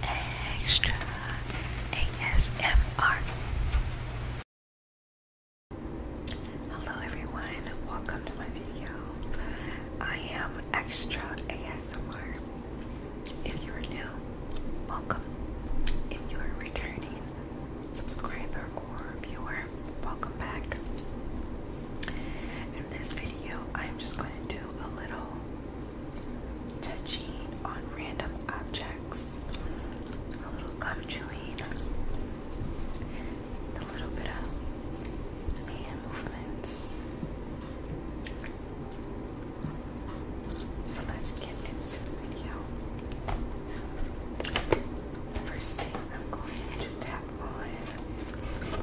Extra ASMR. Hello everyone, welcome to my video. I am Extra ASMR. If you are new, welcome. If you are returning subscriber or viewer, welcome back. In this video, I'm just going to do a little touching on random objects, a little gum chewing, a little bit of hand movements. So let's get into the video. First thing I'm going to tap on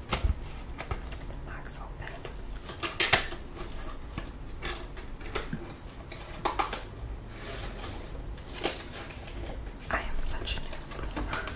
the box open. I am such a noob.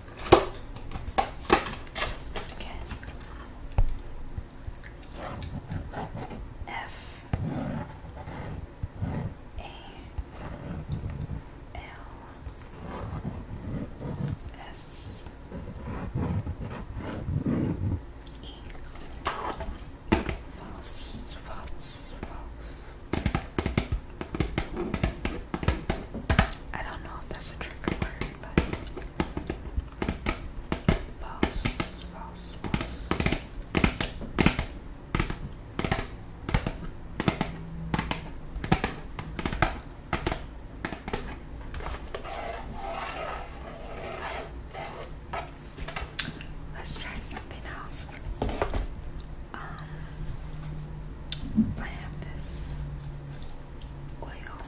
again. F A L S E false, false, false. I don't know if that's a trigger word, but Let's try something else. Um, I have this oil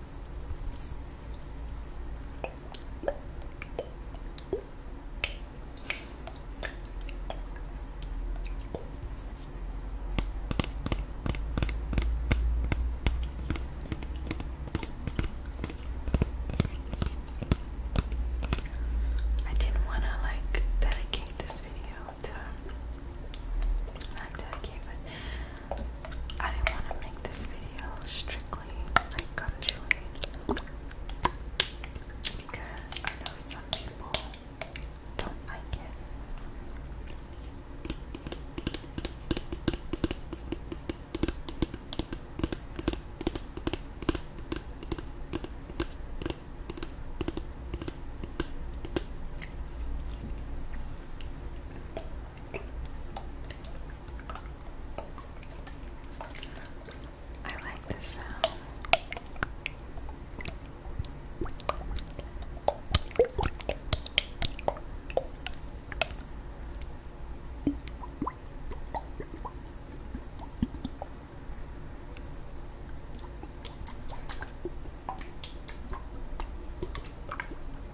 I didn't want to like dedicate this video to not dedicate, I didn't want to make this video strictly like gum chewing because I know some people don't like it. I like the sound.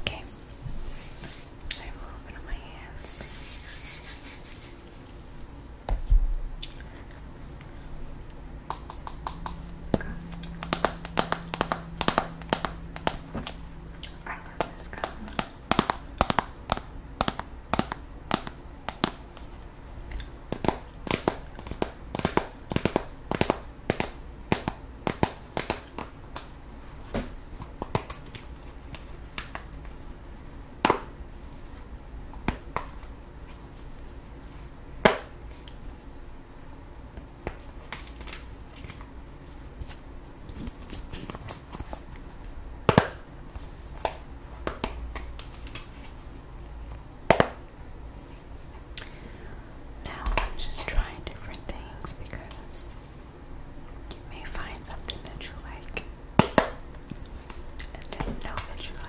Okay, I will open my hands. Okay. I love this gum. Now I'm just trying different things because you may find something that you like and didn't know that you liked.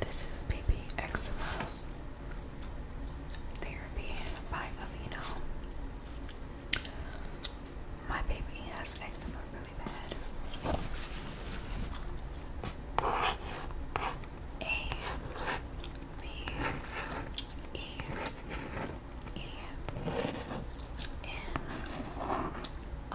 This is baby eczema therapy by Avino. My baby has eczema really bad. A B E E N O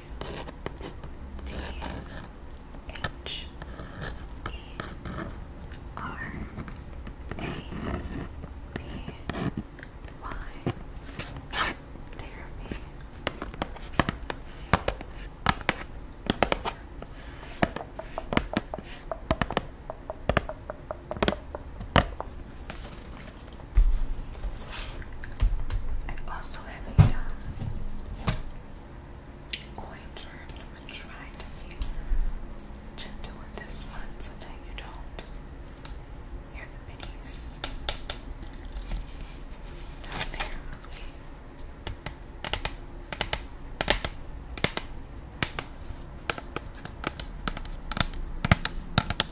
T H E R A B Y therapy. I also have a um, going to try to be gentle with this one so that you don't hear the minis down there.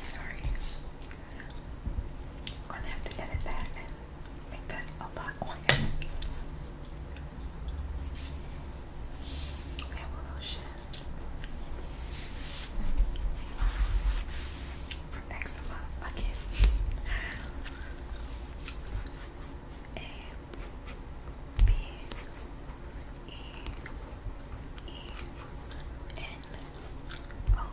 Sorry. I'm gonna have to edit that and make that a lot quieter. We have a little shed for eczema again. A B E E N O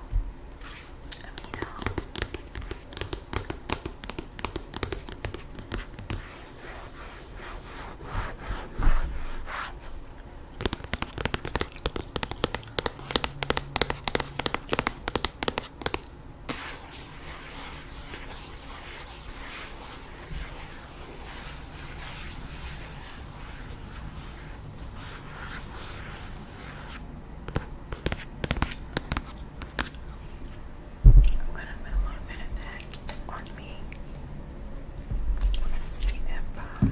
I'm gonna put a little bit of that on me. I'm gonna see if um,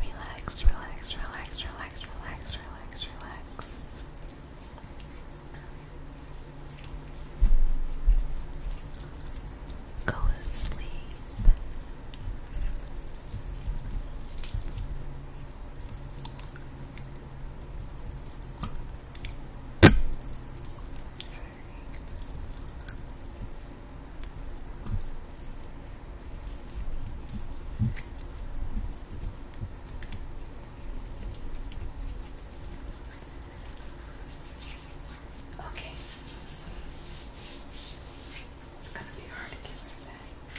Relax, relax, relax, relax, relax, relax, relax. Go to sleep. Okay. It's gonna be hard to get rid that.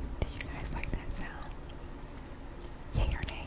Do you guys like that sound? Yay or nay?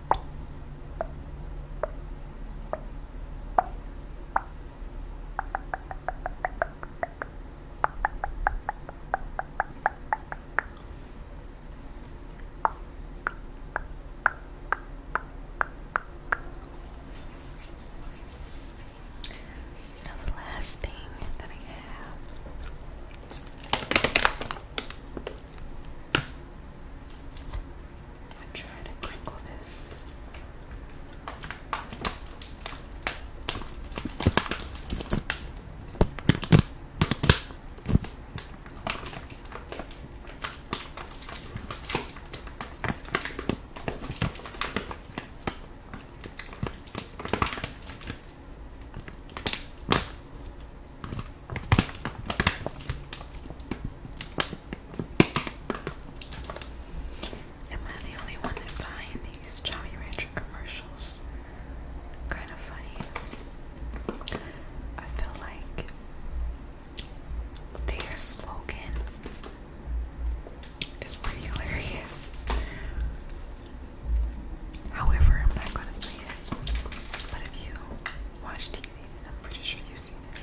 Now, the last thing that I have I'm gonna try to crinkle this. Am I the only one that buying these Jolly Rancher commercials? Kind of funny. I feel like their slogan is pretty hilarious. However, I'm not gonna say it. But if you watch TV, I'm pretty sure you've seen it.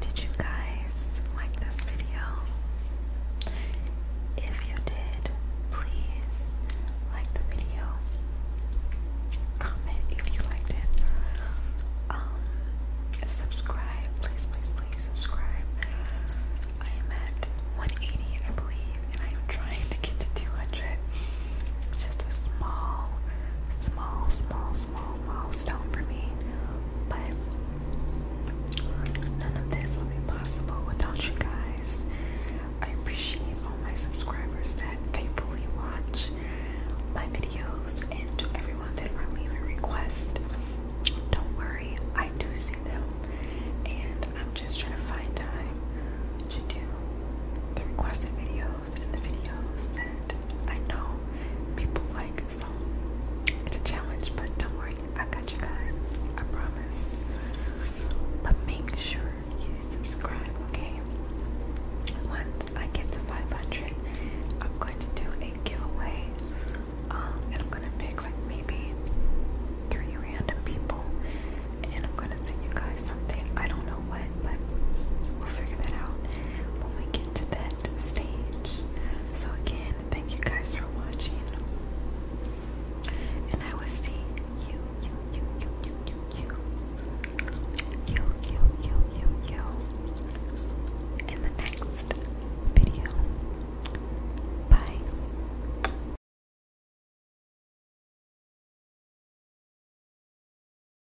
Did you guys like this video? If you did, please like the video. Comment if you liked it. Um, subscribe, please, please, please subscribe. I am at 180, I believe, and I am trying to get to 200. just a small, small, small, small milestone for me, but none of this would be possible without you guys. I appreciate all my subscribers that faithfully watch my videos and to everyone that leave a request. Don't worry, I do see them, and I'm just trying to find time to do the requested videos photos and the videos that I know people like. So it's a challenge, but don't worry, I got you guys. I promise. But make sure you subscribe, okay? Once I get to 500, I'm going to do a giveaway. Um, and I'm gonna pick like maybe three random people, and I'm gonna send you guys something. I don't know what, but we'll figure that out when we that stage. So, again, thank you guys for watching. And I will see you, you, you, you, you, you, you, you, you, you, you, in the next video. Bye.